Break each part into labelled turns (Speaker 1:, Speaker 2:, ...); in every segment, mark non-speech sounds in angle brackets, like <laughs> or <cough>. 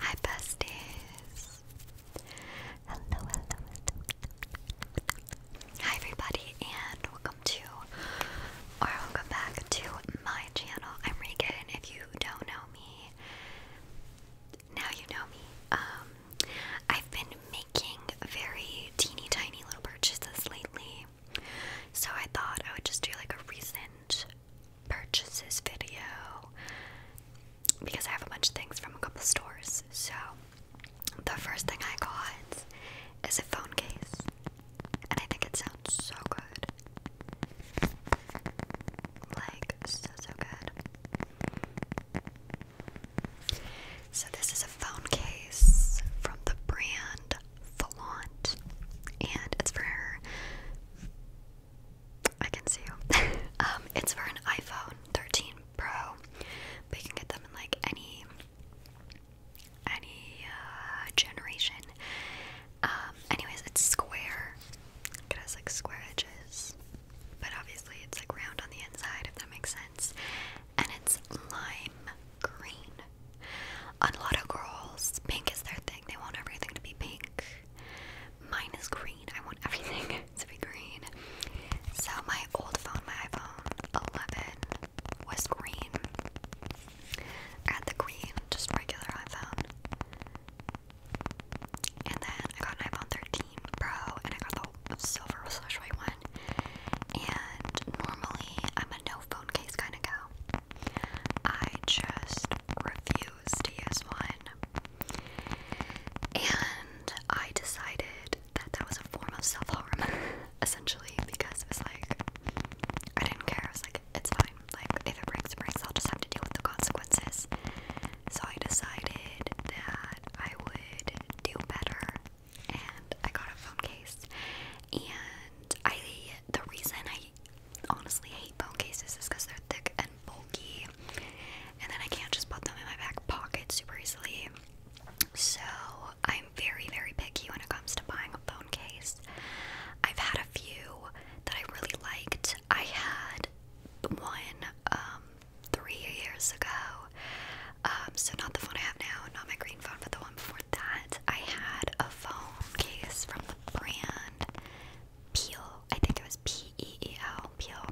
Speaker 1: Hi, besties. Hello, hello, Hi, everybody, and welcome to, or welcome back to my channel. I'm Regan. If you don't know me, now you know me. Um, I've been making very teeny tiny little purchases lately. So I thought I would just do like a recent purchases video because I have a bunch of things from a couple stores. So the first thing I got is a phone case, and I think it sounds so good. Like, so, so good. So, this is a phone case from the brand Flaunt, and it's for I can see you. <laughs> um, it's for an iPhone 13 Pro, but you can get them in like any any uh, generation. Um, anyways, it's square. It has like square edges, but obviously it's like round on the inside, if that makes sense. And it's lime green a lot of girls, pink is their thing. They want everything to be pink. Mine is green. I want everything <laughs> to be green. So my old phone, my iPhone 11, was green. I had the green, just regular iPhone. And then I got an iPhone 13 Pro, and I got the silver slash white one. And normally I'm a no phone case kind of girl. I just refused to use one. And I decided that that was a form of self harm, <laughs> essentially, because it was like, I didn't care. I was like, it's fine. Like, if it breaks, it breaks. I'll just have to deal with the consequences. So I decided that I would do better. And I got a phone case. And I, the reason I honestly hate phone cases because they're thick and bulky, and then I can't just put them in my back pocket super easily. So I'm very, very picky when it comes to buying a phone case. I've had a few that I really liked. I had one um, three years ago. Um, so not the phone I have now, not my green phone, but the one that, I had a phone case from the brand Peel. I think it was P E E L Peel,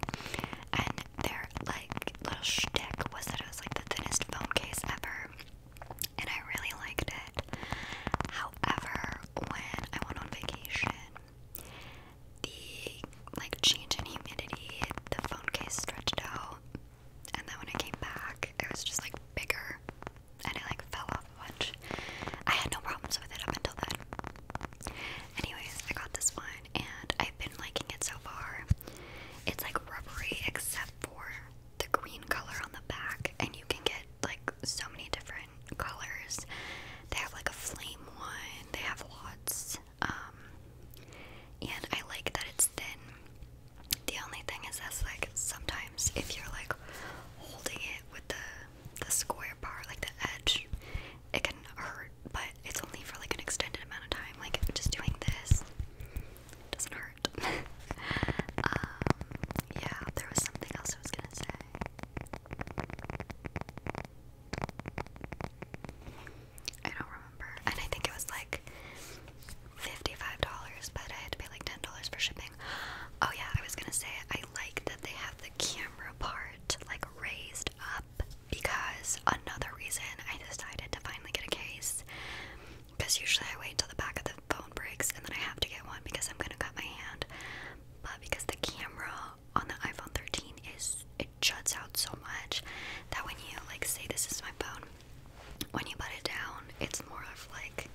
Speaker 1: and their like little shtick was that it was like the thinnest phone case ever, and I really liked it. However, when I went on vacation, the like change in humidity, the phone case stretched out, and then when I came back, it was just like bigger and it like fell off a bunch. I had no problems with it up until then. Anyways, I got this one and I've been liking it so far. It's like rubbery except for the green color on the back, and you can get like so many different colors. They have like a flame one, they have lots. Um, and I like that it's thin. The only thing is that's like sometimes if you're like holding it with the the square part, like the edge, it can hurt, but it's only for like an extended amount of time. Like just doing this doesn't hurt. <laughs> Um, yeah, there was something else I was gonna say. I don't remember, and I think it was like $55, but I had to pay like $10 for shipping. Oh, yeah, I was gonna say, I like that they have the camera part like raised up because another reason I decided to finally get a case. Because usually I wait until the back of the phone breaks and then I have to get one because I'm gonna cut my hand. But because the camera on the iPhone 13 is it juts out so much that when you like say this is my phone when you put it down, it's more of like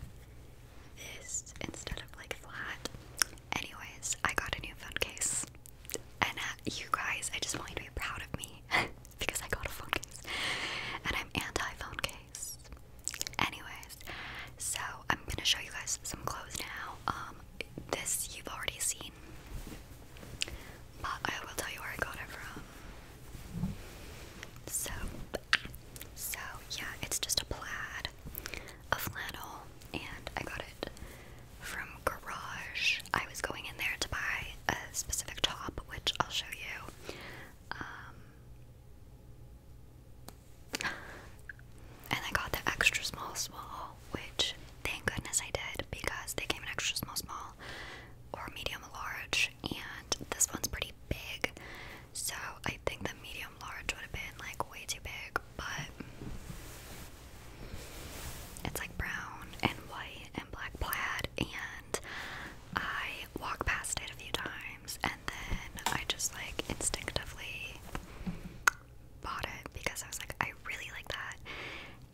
Speaker 1: this instead of like flat. Anyways, I got a new phone case. And uh, you guys, I just want you to be proud of me <laughs> because I got a phone case. And I'm anti phone case. Anyways, so I'm gonna show you guys some clothes now. Um, this you've already seen, but I will tell you where I got it from. So, so yeah, it's just a plaid, a flannel, and I got it from Garage. I was going in there to buy a specific top, which I'll show you. Um, and I got the extra small, small, which thank goodness I did because they came in extra small, small, or medium, large, and this one's pretty big. So I think the medium large would have been like way too big, but it's like brown and white and black plaid and I walk past it a few times and then I just like instinctively bought it because I was like I really like that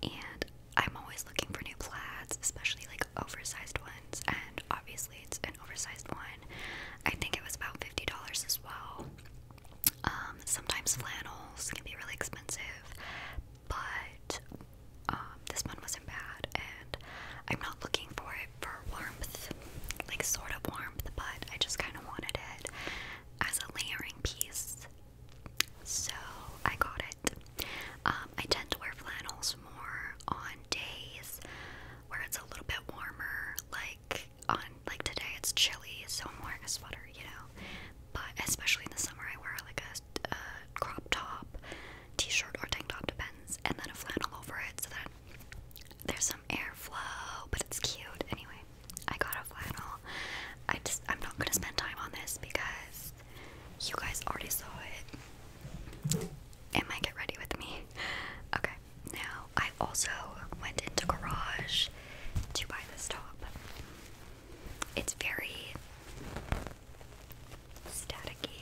Speaker 1: and I'm always looking for new plaids, especially like oversized ones and obviously it's an oversized one. I think it was about fifty dollars as well. Um, sometimes flannels can be really expensive, but um, this one wasn't bad, and I'm not looking for it for warmth, like sort of warmth, but I just kind of wanted it as a layering piece, so I got it. Um, I tend to wear flannels more on days where it's a little bit warmer, like on like today it's chilly, so I'm wearing a sweater, you know. But especially in the summer, I wear like a, a crop top, t-shirt or tank top, depends, and then a flannel over it so that there's some airflow, but it's cute. Anyway, I got a flannel. I just I'm not gonna spend time on this because you guys already saw it. It might get ready with me. Okay, now I also went into Garage to buy this top. It's very staticky.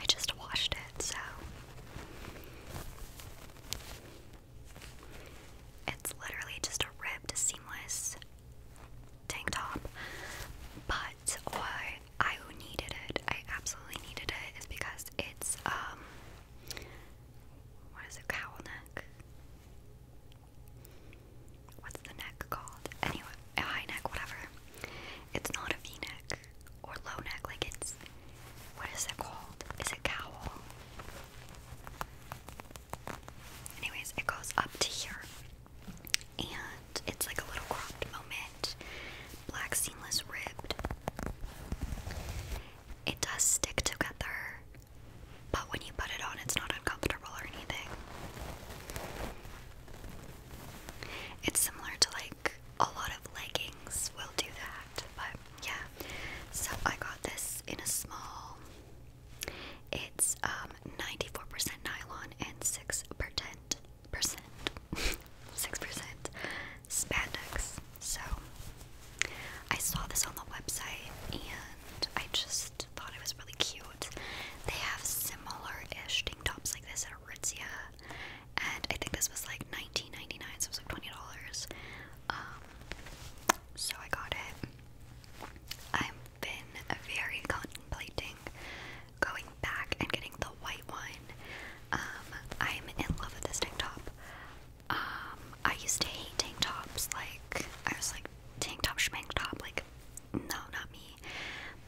Speaker 1: I just washed it, so it's literally just a ribbed, seamless tank top. But why I needed it, I absolutely needed it, is because it's, um, what is it, cowl neck? What's the neck called? Anyway, a high neck, whatever. It's not a v neck or low neck, like it's, what is it called? Is it cowl? Anyways, it goes up to here. And it's like a little cropped moment. Black seamless ribbed. It does stick together, but when you put it on, it's not uncomfortable or anything. It's similar to like a lot of leggings will do that, but yeah, so I got this in a small. It's 94% um, nylon and 6% percent 6% <laughs> spandex. So I saw this on the website and I just thought it was really cute. They have similar-ish tank tops like this at Ritzia, And I think this was like nineteen ninety nine. so it was like $20. Um, so I got it. I've been very contemplating going back and getting the white one. Um, I'm in love with this tank top. Um, I used to hate tank tops, like, I was like, tank top, schmank top, like, no, not me.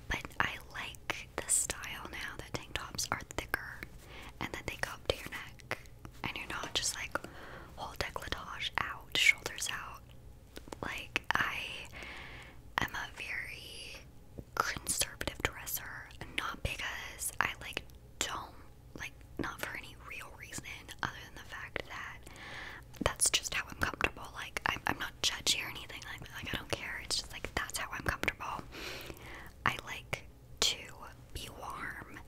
Speaker 1: But I like the style now The tank tops are thicker and then they come up to your neck, and you're not just like whole décolletage out, shoulders out. Like I am a very conservative dresser, not because I like don't like not for any real reason other than the fact that that's just how I'm comfortable. Like I'm, I'm not judgy or anything like that. Like I don't care. It's just like that's how I'm comfortable. I like to be warm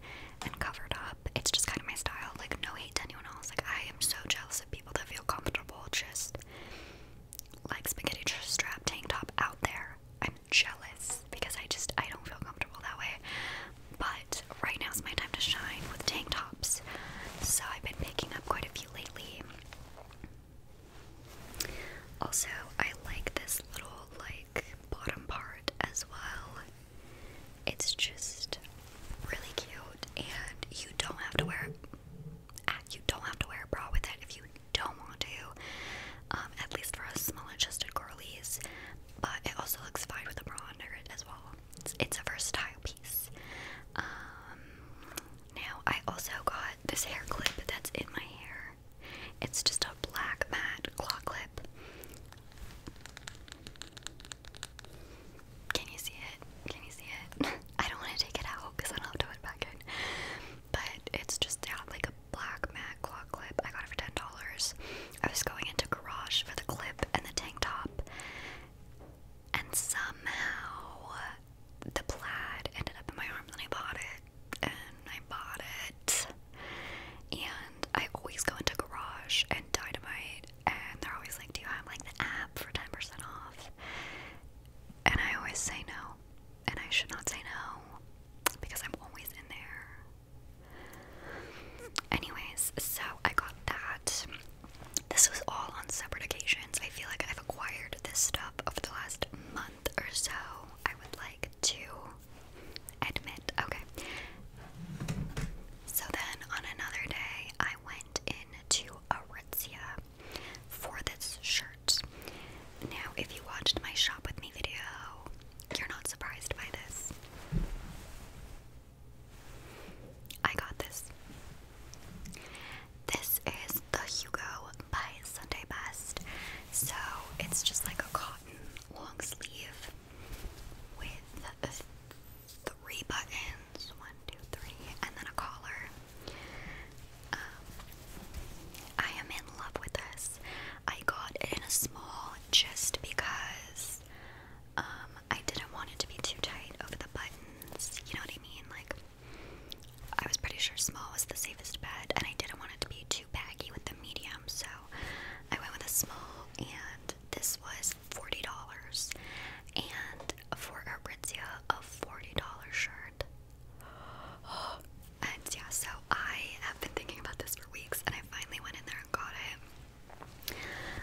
Speaker 1: and covered up. It's just kind of my style. Like, no hate to anyone else. Like, I am so jealous of people that feel comfortable just like spaghetti strap tank top out there. I'm jealous because I just I don't feel comfortable that way. But right now is my time to shine with tank tops. So I've been picking up quite a few lately. Also, I like this little light bottom part as well. It's just really cute and you don't have to wear ah, you don't have to wear a bra with it if you don't want to. Um, at least for us small chested girlies. But it also looks fine with a bra under it as well. It's, a versatile piece. Um, now I also got this hair clip that's in my hair. It's just a black matte claw clip. Can you see it? Can you see it? <laughs> I don't want to take it out because then I'll do it back in. But it's just like a black matte claw clip. I got it for ten dollars. I was going into Garage for the clip and the tank top, and somehow the plaid ended up in my arm. Then I bought it, and I bought it and I always go into Garage and Dynamite, and they're always like, "Do you have like the app for ten percent off?" And I always say no, and I should not say no because I'm always in there. Anyways, so I got that. This was all on separate occasions. I feel like I've acquired this stuff over the last month or so. I would like to Admit, okay. So then on another day, I went into Aritzia for this shirt. Now, if you watched my shop with me video, you're not surprised by this. I got this. This is the Hugo by Sunday Best. So it's just like a cotton long sleeve with three buttons one, two, three, and then a collar. Um, I am in love with this. I got it in a small just because um, I didn't want it to be too tight over the buttons. You know what I mean? Like, I was pretty sure small was the safest bed, and I didn't want it to be too baggy with the medium, so I went with a small, and this was $40. And for Aritzia, a $40 shirt. <gasps> And yeah, so I have been thinking about this for weeks, and I finally went in there and got it.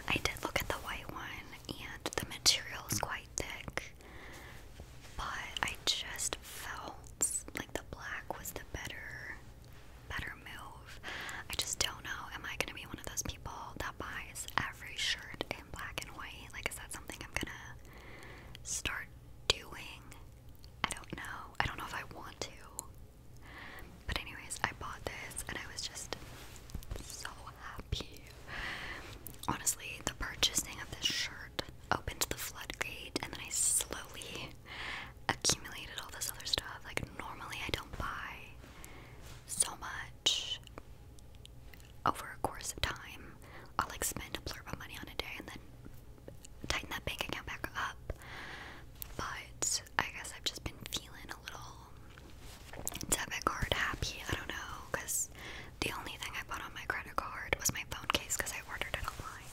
Speaker 1: I did look at the white one, and the material is quite thick, but I just felt like the black was the better better move. I just don't know. Am I gonna be one of those people that buys every shirt in black and white? Like, is that something I'm gonna start doing? I don't know. I don't know if I want to. But, anyways, I bought this and I was just so happy. Honestly, the purchasing of this shirt opened the floodgate, and then I slowly accumulated all this other stuff. Like, normally I don't buy so much over a course of time. I'll like spend a blurb of money on a day and then tighten that bank account back up. But I guess I've just been feeling a little debit card happy. I don't know, because the only thing I bought on my credit card was my phone case because I ordered it online.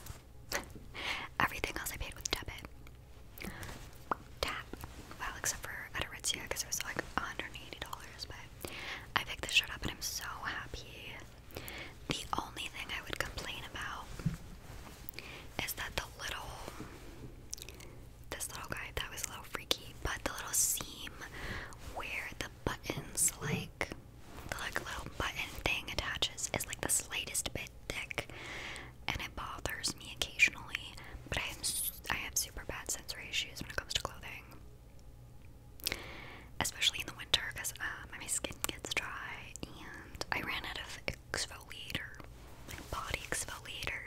Speaker 1: <laughs> Everything else I paid with debit. Tap. Well, except for at Aritzia because it was like $180, but I picked this shirt up and I'm so happy. The only thing I would complain about is that the little this little guy that was a little freaky, but the little seam where the buttons like the like little button thing attaches is like the slightest bit thick and it bothers me occasionally. But I have super bad sensory issues when it comes to clothing, especially in the winter because uh, my skin gets dry. And I ran out of exfoliator, body exfoliator,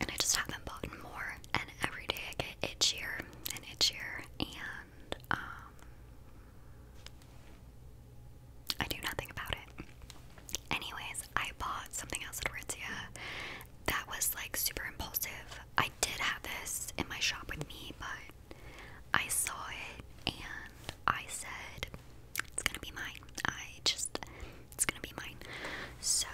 Speaker 1: and I just haven't bought more. And every day I get itchy and itchy and um, I do nothing about it. Anyways, I bought something else at Aritzia that was like super impulsive. I did have this in my shop with me, but I saw it and I said, it's gonna be mine. I just, it's gonna be mine. So,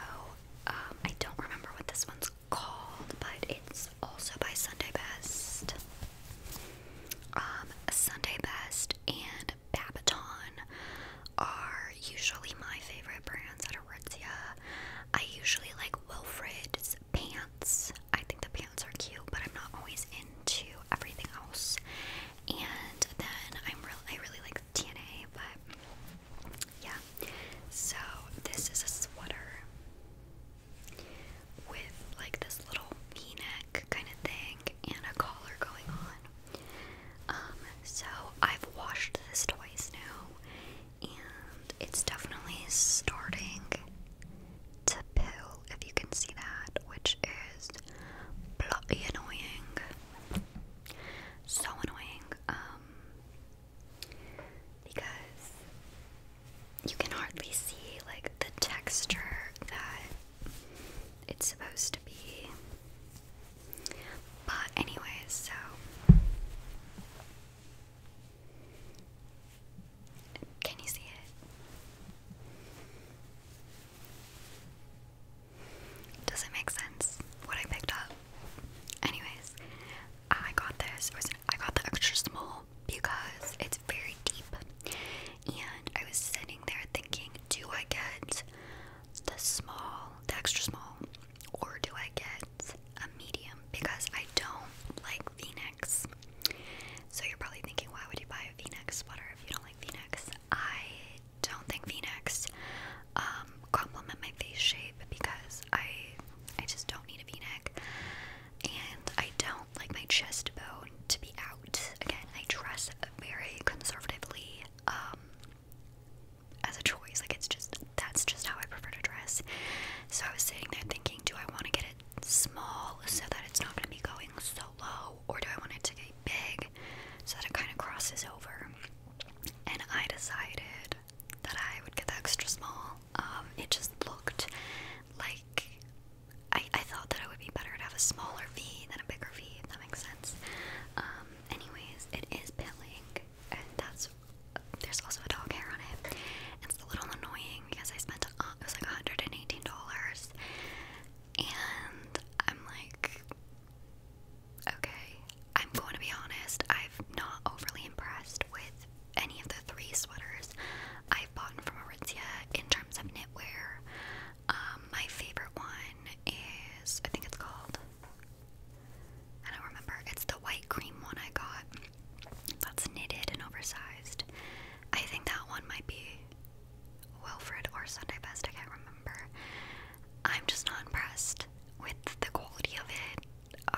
Speaker 1: um, I don't remember what this one's called, but it's also by Sunday Best. Um, Sunday Best and Babaton are usually my favorite brands at Aritzia. I usually like Wilfred's pants. I think the pants are cute, but I'm not always into everything else. And then I'm real I really like TNA, but yeah. So this is a sweater with like this little v-neck kind of thing and a collar going on. Um, so I've washed this twice now, and it's definitely starting to pill, if you can see that, which is bloody annoying. So annoying, um, because you can hardly see like the texture that it's supposed to be. But, anyways, so. Can you see it? Does it make sense what I picked up? Anyways, I got this. I got the extra small because it very deep. And I was sitting there thinking, do I get the small, the extra small, or do I get a medium? Because I don't like v-necks. So you're probably thinking, why would you buy a v-neck sweater if you don't like v-necks? I don't think v-necks um, complement my face shape because I I just don't need a v-neck. And I don't like my chest bone to be out. Again, I dress very conservatively um, as a choice. Like it's just that's just how I prefer to dress. So I was sitting there thinking, do I want to get it small so that it's not going to be going so low, or do I want it to get big so that it kind of crosses over? And I decided that I would get the extra small. Um, it just looked like I, I thought that it would be better to have a smaller V than a bigger V, if that makes sense. Um, anyways, it is pilling, and that's there's also a dog hair on it. It's a little annoying because I spent it was like $118, and I'm like, okay, I'm going to be honest, I've not overly impressed with any of the three sweaters I've bought from Aritzia in terms of knitwear. Um, my favorite one is I think it's called I don't remember. It's the white cream one I got. That's knitted and oversized. I think that one might be Wilfred or Sunday Best. I can't remember. I'm just not impressed with the quality of it.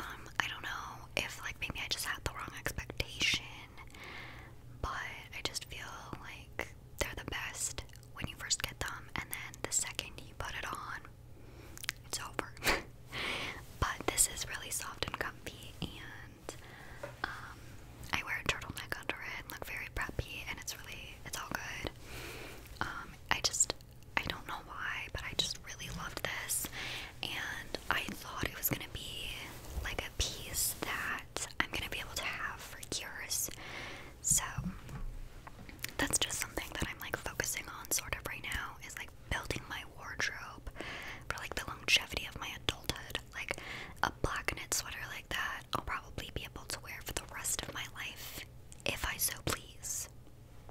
Speaker 1: Um, I don't know if like maybe I just had the wrong expectation, but I just feel like they're the best when you first get them, and then the second you put it on, it's over. <laughs> but this is really soft and comfy, and um, I wear a turtleneck under it and look very preppy, and it's really, it's all good. Um, I just, I don't know why, but I just really loved this, and I thought it was gonna be like a piece that I'm gonna be able to have for years. So that's just something that I'm like focusing on sort of right now is like building my wardrobe for like the longevity of my adulthood. Like a black knit sweater like that, I'll probably be able to wear for the rest of my life if I so please.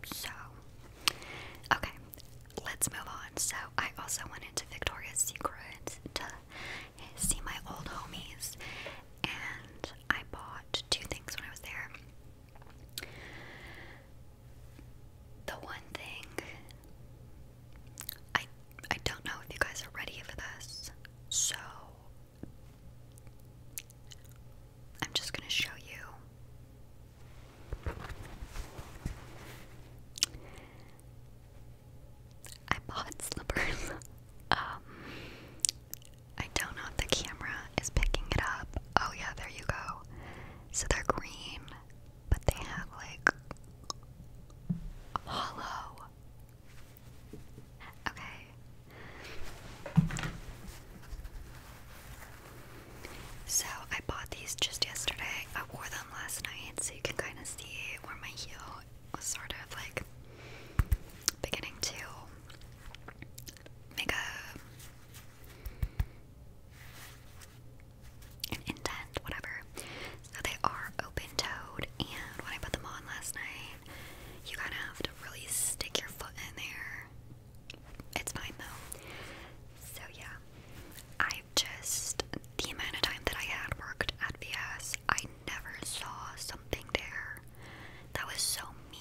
Speaker 1: So, okay, let's move on. So, I also went into Victoria's Secret to see my old homies, and I bought two things when I was there. The one thing I I don't know if you guys are ready for this, so I'm just gonna show you. I bought slippers. <laughs> Um, I don't know if the camera is picking it up. Oh, yeah, there you go. So they're green, but they have like hollow. Okay. So I bought these just yesterday. I wore them last night so you can kind of see where my heel sort of like beginning to make a an whatever. So they are open-toed, and when I put them on last night, you kind of have to really stick your foot in there. It's fine though. So yeah, i just the amount of time that I had worked at VS I never saw something there that was so me.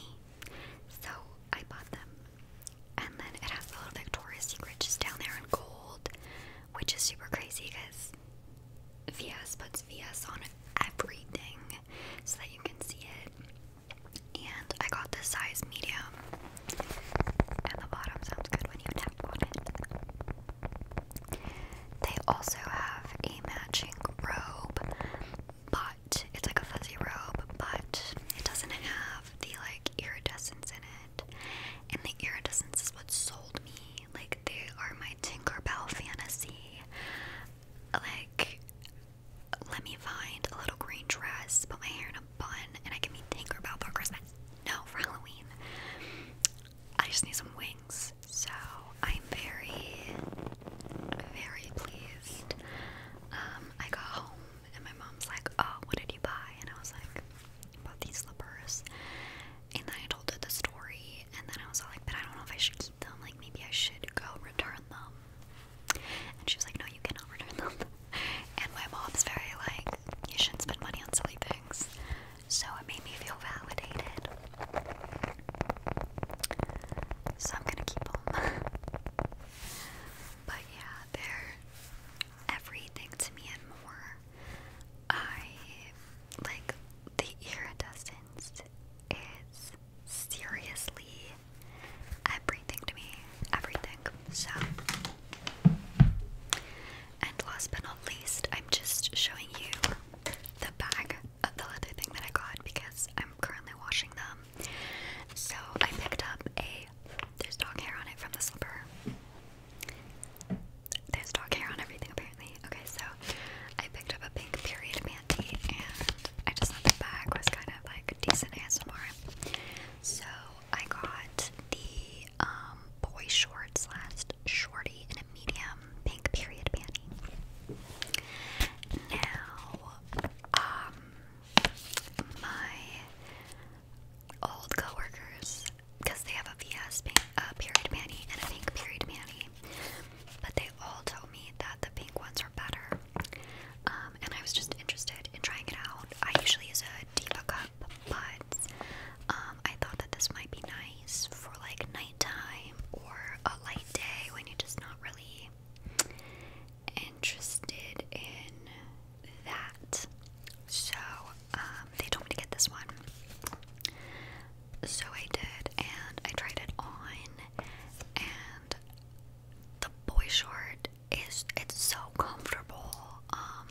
Speaker 1: So I bought them. And then it has the little Victoria's Secret just down there in gold, which is super crazy because VS puts VS on everything so that you can see it. And I got the size medium. And the bottom sounds good when you tap on it. They also have a matching robe, but it's like a fuzzy robe, but it doesn't have the like iridescence in it. And the iridescence is what sold me. Like they are my Tinkerbell fantasy. Like let me find a little green dress, put my hair in a bun, and I can be Tinkerbell for Christmas. No, for Halloween. I just need some wings so I'm very, very pleased. Um, I got home and my mom's like, "Oh, what did you buy?" And I was like, I these slippers." And then I told her the story, and then I was like, "But I don't know if I should keep them. Like, maybe I should go return them." And she was like, "No, you cannot return them." <laughs> and my mom's very like, "You shouldn't spend money on silly things." so it made me feel validated. So I'm gonna keep them. <laughs> but yeah, they're everything to me and more. I like the iridescence is seriously everything to me. Everything. So and last but not least, I'm just showing you the bag of the leather thing that I got because I'm currently washing them. So I picked up a. There's dog hair on it from the slipper. There's dog hair on everything apparently. Okay, so I picked up a pink period panty and I just thought the bag was kind of like decent ASMR. So I got the um, boy shorts, last shorty in a medium pink period panty. Now, um, my old coworkers, because they have a VS pink, period panty and a pink period panty, but they all told me that the pink ones are better. Um, and I was just interested in trying it out. I usually use a cup, but um, I thought that this might be nice for like nighttime or a light day when you're just not really interested in that. So um, they told me to get this one. So I did, and I tried it on, and the boy short is it's so comfortable. Um,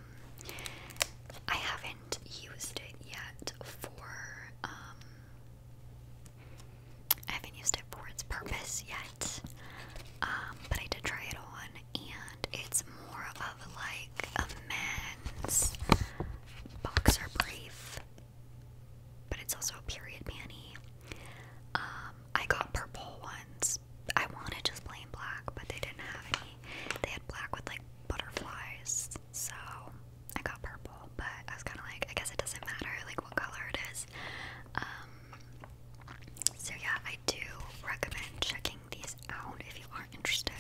Speaker 1: I haven't used it yet for, um, I haven't used it for its purpose yet, um, but I did try it on, and it's more of like a men's boxer brief, but it's also a period panty. Um, I got purple ones. I wanted just plain black, but they didn't have any. They had black with like butterflies so I got purple, but I was kind of like, I guess it doesn't matter like what color it is. Um, so yeah, I do recommend checking these out if you are interested.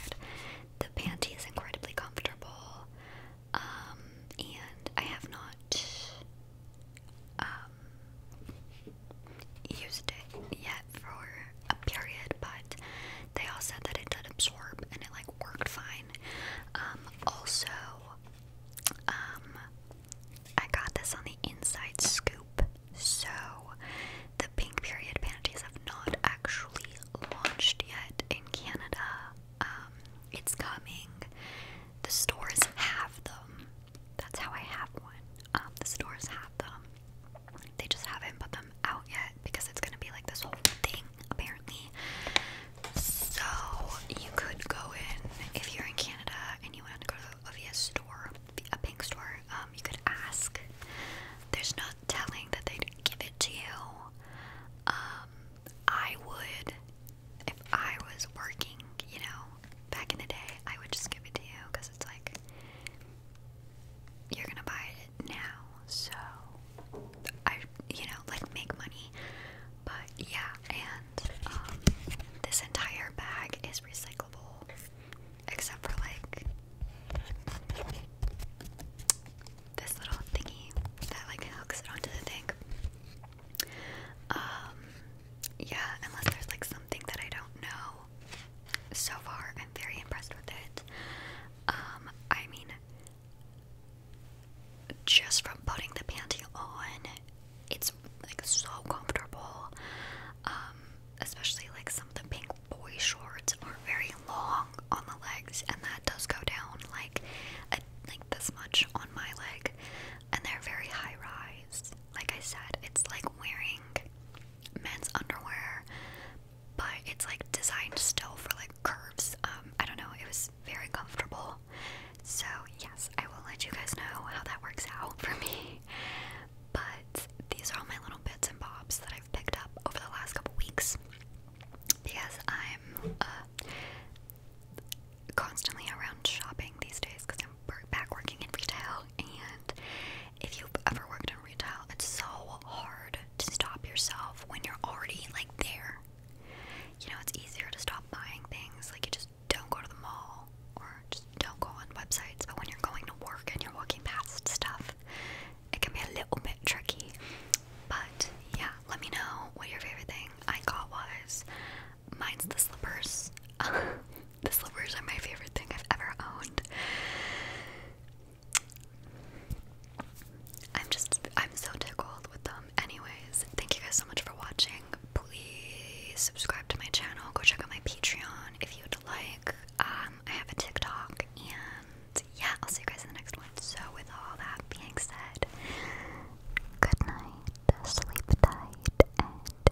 Speaker 1: The panty is incredibly comfortable, um, and I have not um, used it yet for a period, but they all said that it did absorb and it like worked fine. Um, also, um, I got this on the inside scoop, so the Pink Period panties have not actually launched yet in Canada. Um, it's coming. The stores have them. That's how I have one. the stores have them. They just haven't put them out yet because it's gonna be like this whole thing apparently. So you could go in if you're in Canada and you want to go to a VS store, a pink store. Um, you could ask. There's not telling that they'd give it to you. Um, I would if I was working, you know, back in the day, I would just give it to you because it's like you're gonna buy it now, so I, you know, like make money. But yeah, and um, this entire bag is recyclable, except for like this little thingy that like hooks it onto the thing. Um, yeah, unless there's like something that I don't know. So far, I'm very impressed with it. Um, I mean, just from putting the panty on, it's like so comfortable. Um, especially like some of the pink boy shorts are very long on the legs, and that does go down like a, like this much on my leg, and they're very high rise. Like I said, it's like wearing men's underwear, but it's like designed still for like curves. Um, I don't know, it was very comfortable. So, yes, I will let you guys know how that works out for me. <laughs> But these are all my little bits and bobs that I've picked up over the last couple weeks because I'm uh, constantly around shopping these days because I'm back working in retail. And if you've ever worked in retail, it's so hard to stop yourself when you're already like there. You know, it's easier to stop buying things. Like you just don't go to the mall or just don't go on websites. But when you're going to work and you're walking past stuff, it can be a little bit tricky. But yeah, let me know what your favorite thing I got was. Mine's the slippers. <laughs> the slippers are my favorite thing I've ever owned. I'm just, I'm so tickled with them. Anyways, thank you guys so much for watching. Please subscribe to my channel. Go check out my Patreon if you'd like. Um, I have a TikTok, and yeah, I'll see you guys in the next one. So, with all that being said, good night, sleep tight,